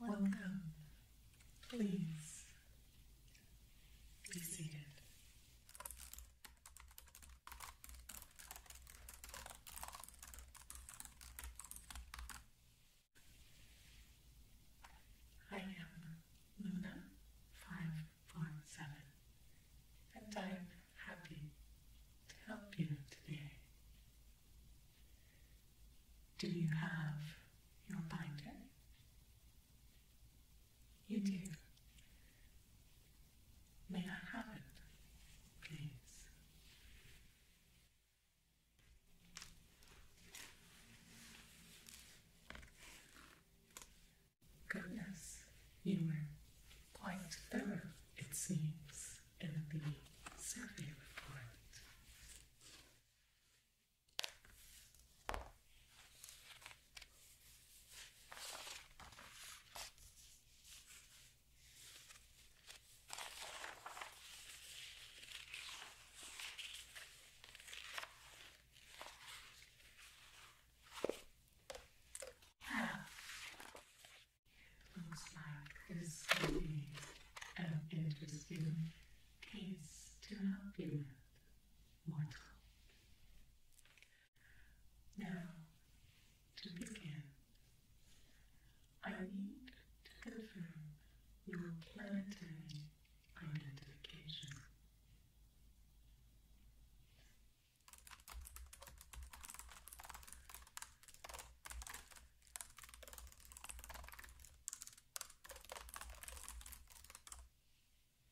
Welcome. Please be seated. I am Luna five four seven, and I am happy to help you today. Do you have your binder? You mm. do. May I have it, please? Goodness, you were quite thorough, it seems, in the survey report. Looks like this an interesting case to help you with. Now, to begin, I need to confirm your planetary identification.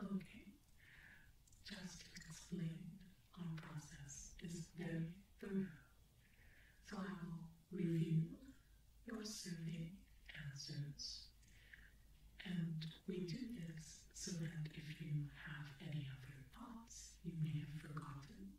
Okay, just explain, our process is very thorough, so I will review your survey answers. And we do this so that if you have any other thoughts you may have forgotten,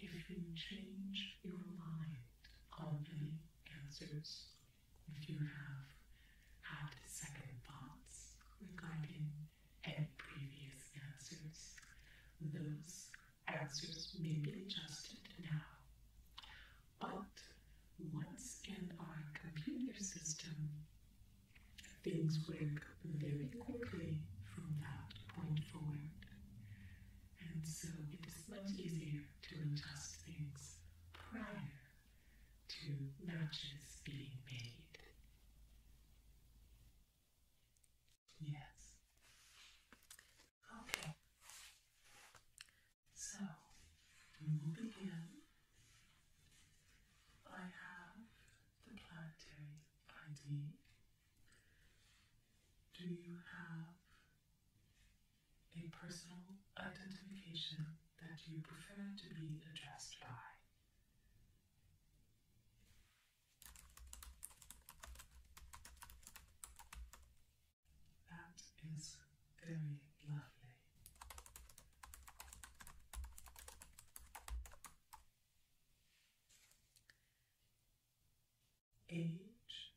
if you change your mind on any answers if you have had second thoughts regarding any previous answers, those answers may be adjusted now. But once in our computer system, things work very quickly from that point forward. And so it is much easier to adjust things prior to matches being made. Yes. Okay. So we will begin. I have the planetary ID. Do you have a personal identification that you prefer to be addressed by. That is very lovely. Age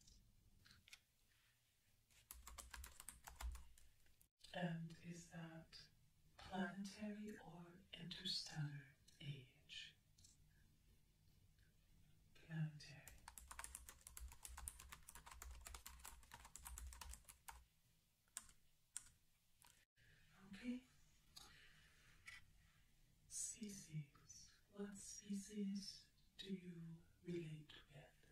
and is that planetary or interstellar age? Planetary. Okay. Species. What species do you relate with?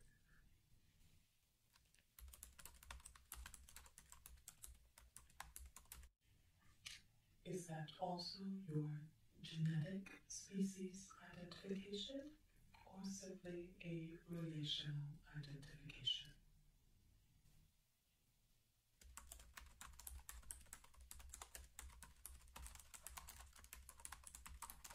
Is that also your genetic species identification or simply a relational identification?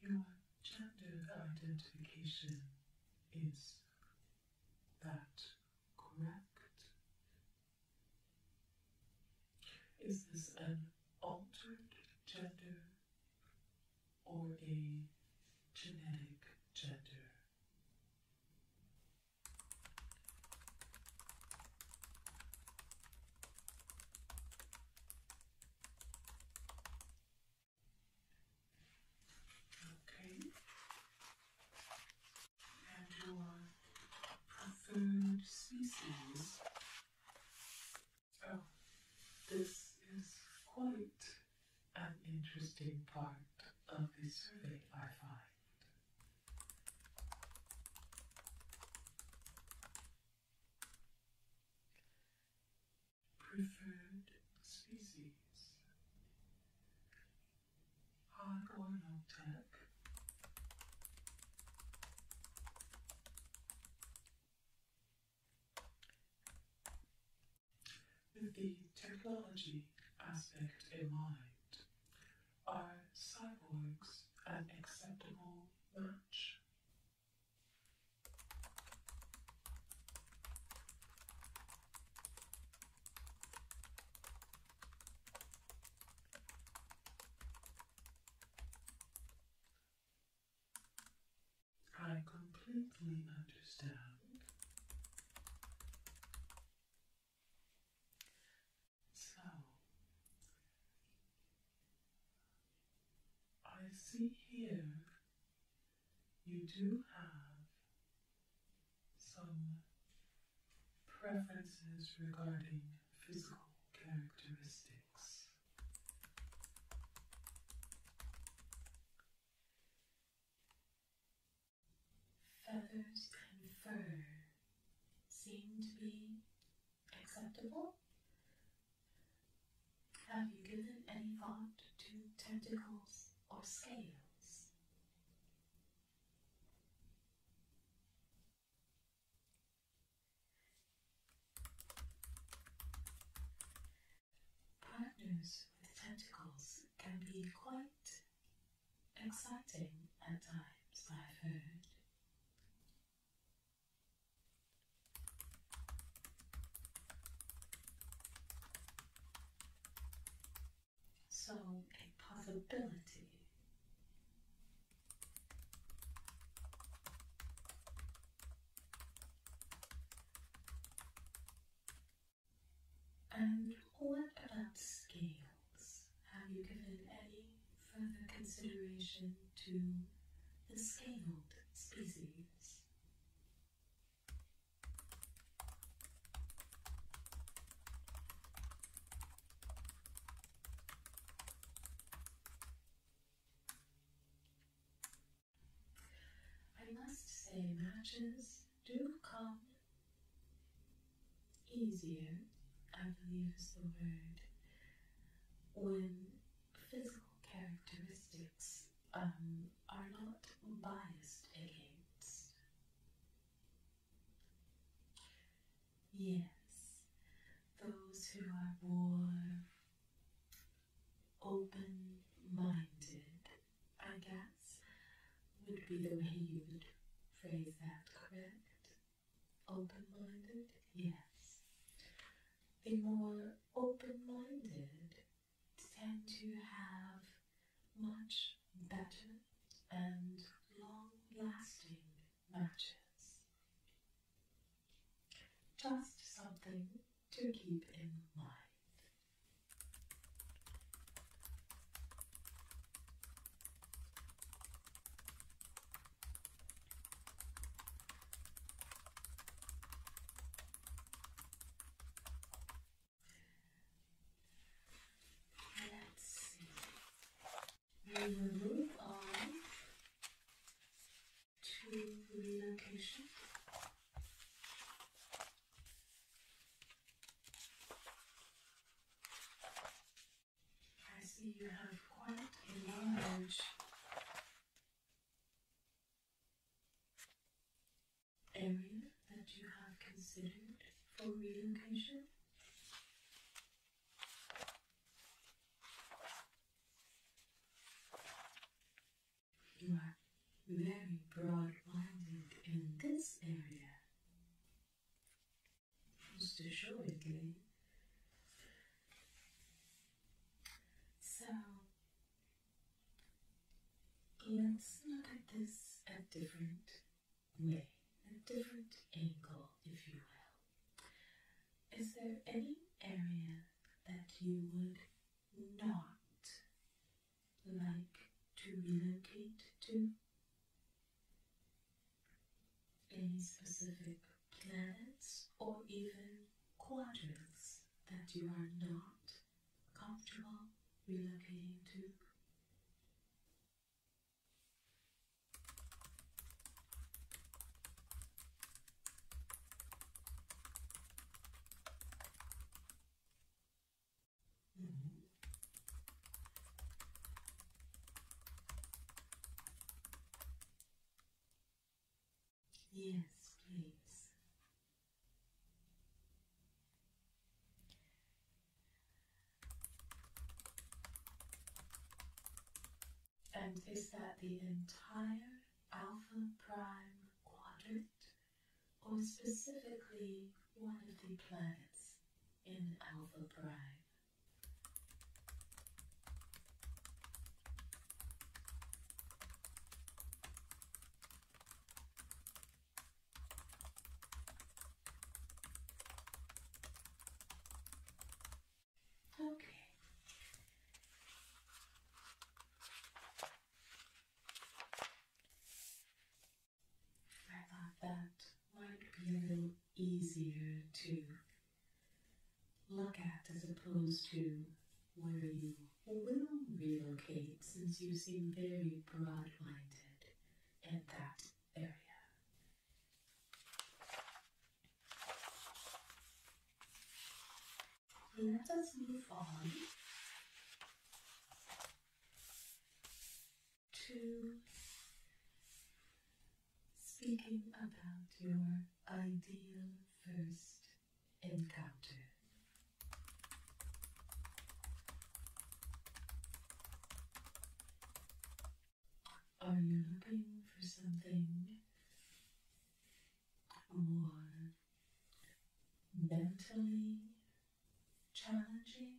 Your gender identification is that correct? Is this an altered gender or a genetic gender? Okay. And your preferred species. Oh, this is quite an interesting part of the survey, I find. Preferred species High oil tech with the technology aspect in mind. Are cyborgs an acceptable match? I completely understand. So, I see here you do have some preferences regarding physical characteristics. Feathers and fur seem to be acceptable. Have you given any thought to tentacles or scales? Partners with tentacles can be quite Exciting at times, I've heard. So, a possibility. And what about scales? Have you given any further consideration to the scaled species? I must say matches do come easier, I believe is the word, when physical characteristics um, are not biased against. Yes, those who are more open minded I guess, would be the way you would phrase that, correct? Open minded? Yes. The more open minded tend to have much better and long lasting matches. Just something to keep in mind. Let's see. We will move on to relocation. I see you have quite a large area that you have considered for relocation. You are very broad-minded in this area. Just show So let's look at this a different way, a different angle, if you will. Is there any area that you would not like to relocate to? Any specific planets or even quadrants that you are not comfortable relocating to? Yes, please. And is that the entire alpha prime quadrant? or specifically one of the planets in Alpha Prime. Okay. I thought that might be a little easier to look at as opposed to where you will relocate since you seem very broad-minded in that area. Let us move on to speaking about your ideal first encounter. Are you looking for something more mentally challenging,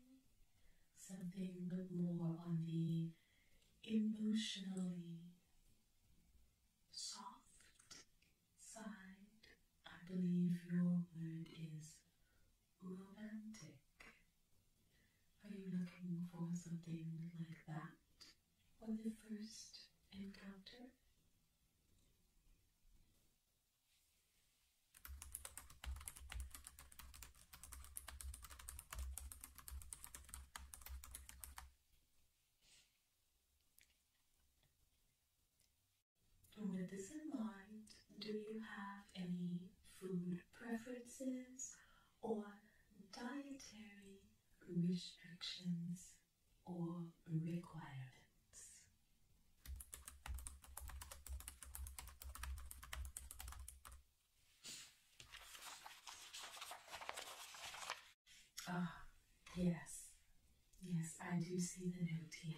something but more on the emotionally soft side. I believe your word is romantic. Are you looking for something like that on the first encounter? With this in mind, do you have any food preferences or dietary restrictions or requirements? Ah, yes. Yes, I do see the note here.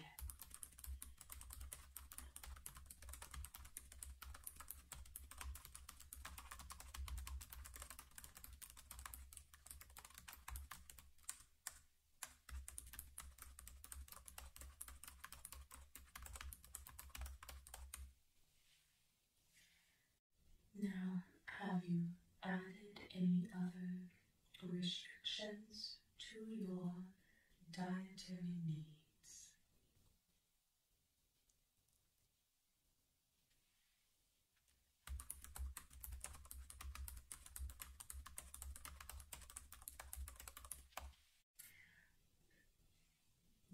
Now, have you added any other restrictions to your dietary needs?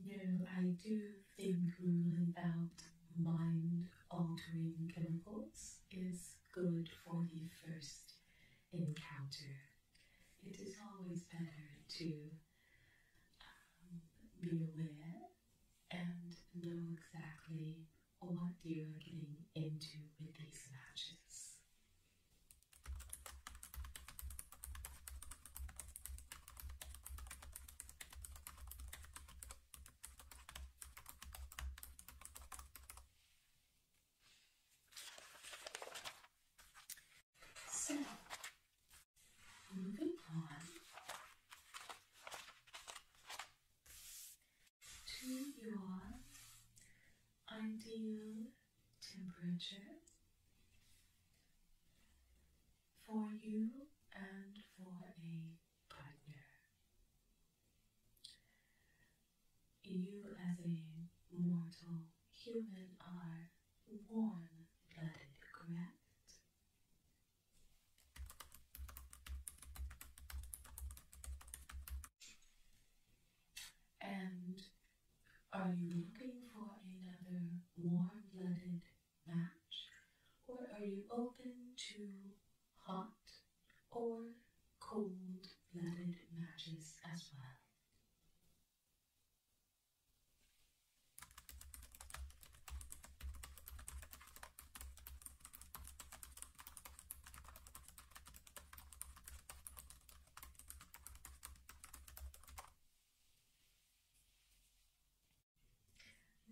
No, I do think ruling out mind altering chemicals is good for the first encounter. It is always better to um, be aware and know exactly what you are getting into with these matches. So, moving on to your ideal temperature for you and for a partner. You, as a mortal human, are one blooded, correct? And are you looking for another warm blooded match? Or are you open to hot or cold blooded matches as well?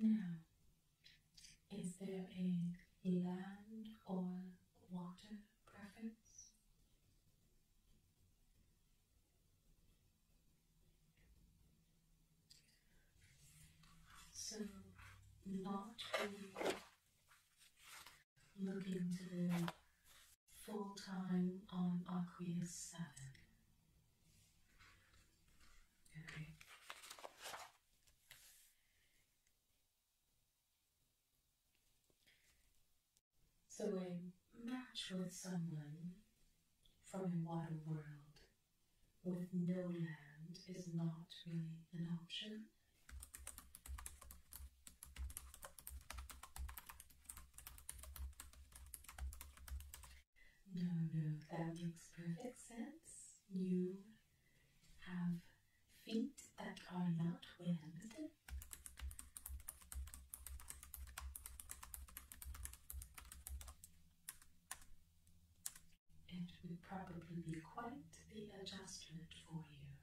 Now, is there a land or water preference? So, not really looking to do full time on Aquarius 7. So a match with someone from a wider world with no land is not really an option. No, no, that makes perfect sense. You have feet that are not webbed. It would probably be quite the adjustment for you.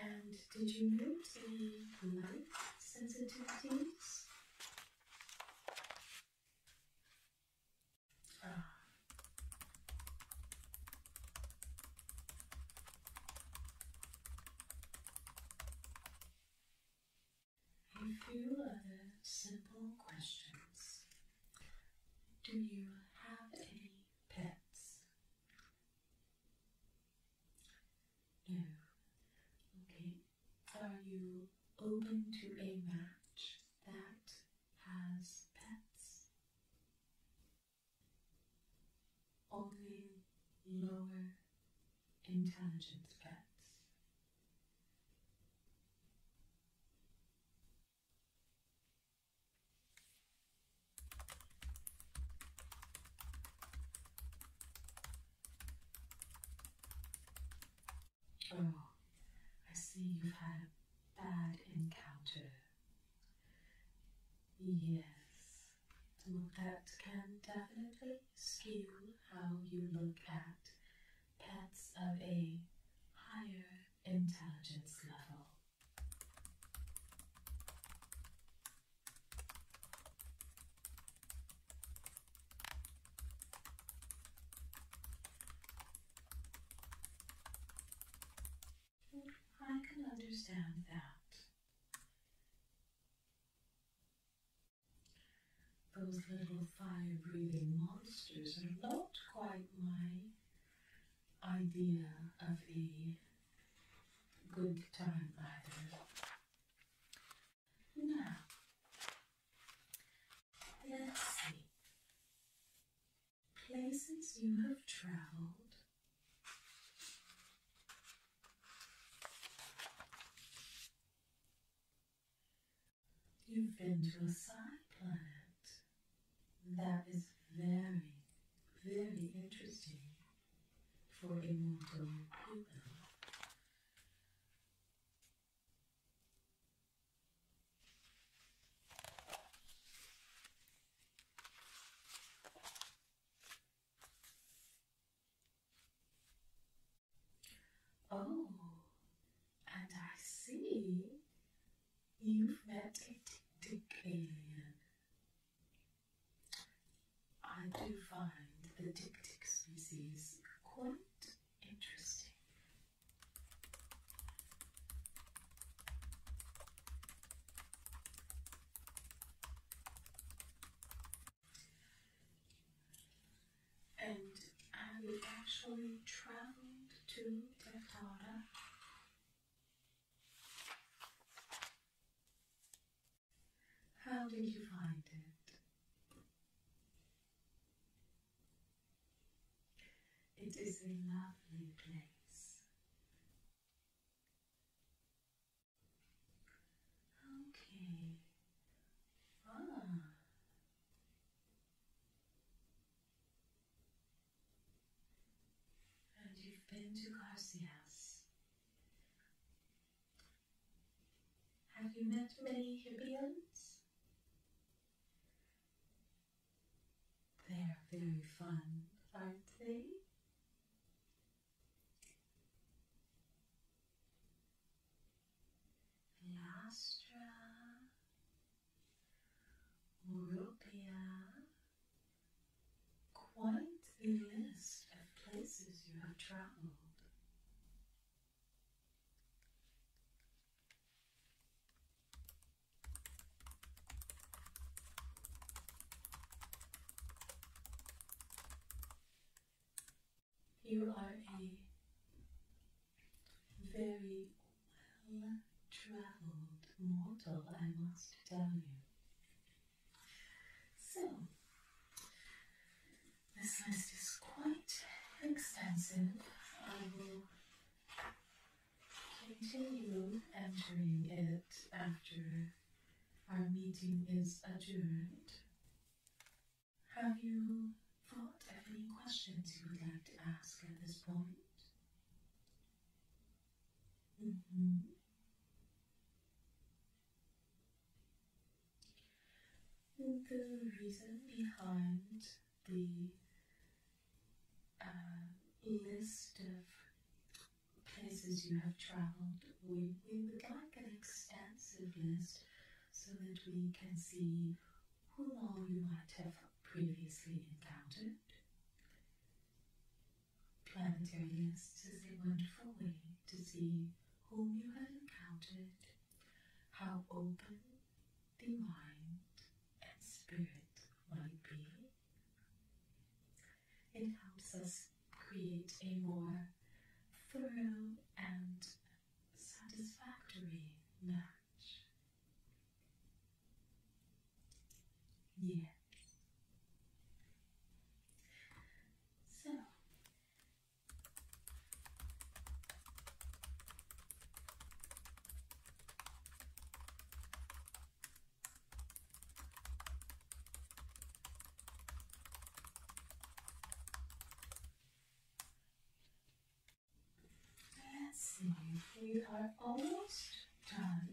And did you notice any light sensitivities? A few other simple questions. Do you have any pets? No. Okay. Are you open to a match that has pets? Only lower intelligence pets. Oh, I see you've had a bad encounter. Yes, well, that can definitely skew how you look at pets of a higher intelligence level. I can understand that. Those little fire breathing monsters are not quite my idea of the good time either. Now, let's see. Places you have traveled. You've been to a side planet. That is very, very interesting for a mortal human. Oh, and I see you've met a tick tick I do find the tick species quite interesting. And I actually traveled to Dakota? How did you find it? It is a lovely place. Okay. Ah, and you've been to Garcias. Have you met many Hippians? They are very fun, aren't they? Vilastra, Urupia. Quite a list of places you have travelled. You are a very well traveled mortal, I must tell you. So, this list is quite extensive. I will continue entering it after our meeting is adjourned. Have you thought of any questions you would like to ask at this point? Mm-hmm. The reason behind the uh, list of places you have traveled, we would like an extensive list so that we can see whom long you might have previously encountered. Planetarians is a wonderful way to see whom you have encountered, how open the mind and spirit might be. It helps us create a more thorough and satisfactory match. Yes. So Let's see, we are almost done.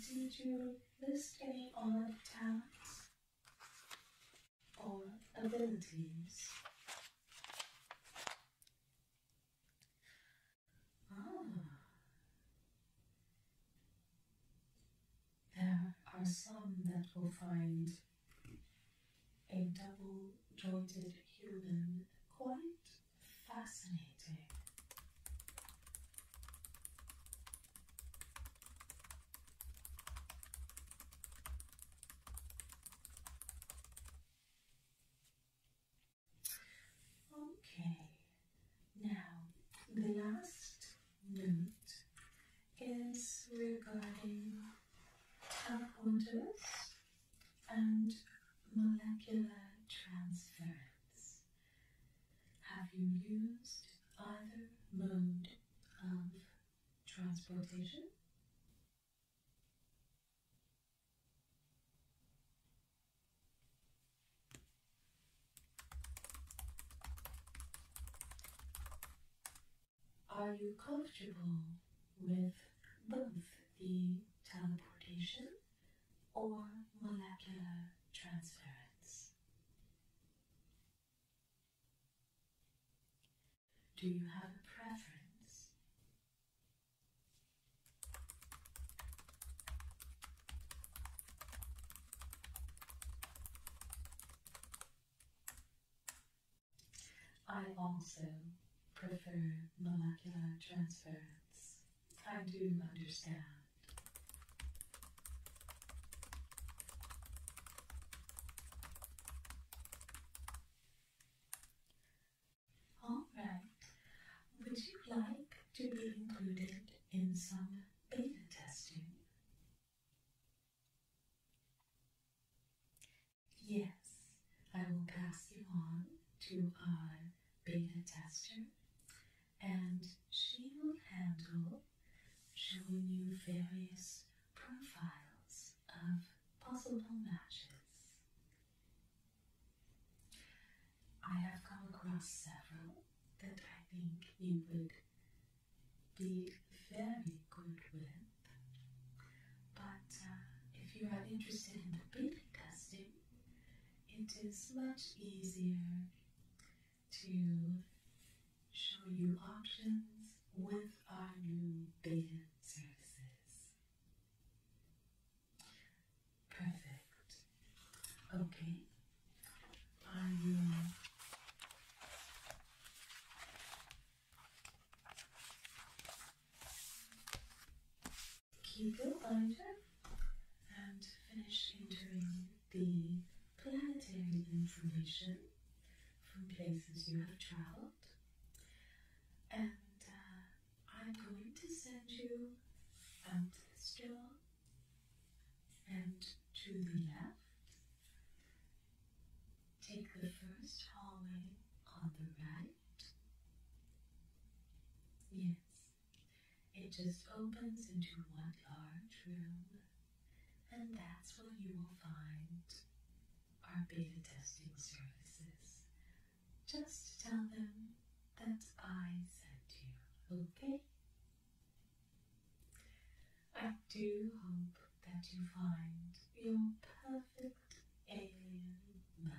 Did you list any other talents or abilities? Ah. There are some that will find a double jointed human quite fascinating. Okay, now the last note is regarding tap and molecular transference. Have you used either mode of transportation? Are you comfortable with both the teleportation or molecular transference? Do you have a preference? I also prefer molecular transference. I do understand. Alright, would you like to be included in some beta testing? Yes, I will pass you on to our beta tester, and she will handle showing you various profiles of possible matches. I have come across several that I think you would be very good with. But uh, if you are interested in the beta testing, it is much easier to show you options with our new beta services. Perfect. Okay. I will Keep your binder and finish entering the planetary information from places you have traveled. And uh, I'm going to send you out this door and to the left Take the first hallway on the right. Yes, it just opens into one large room, and that's where you will find our beta testing services. Just tell them that I sent you, okay? I do hope that you find your perfect alien match.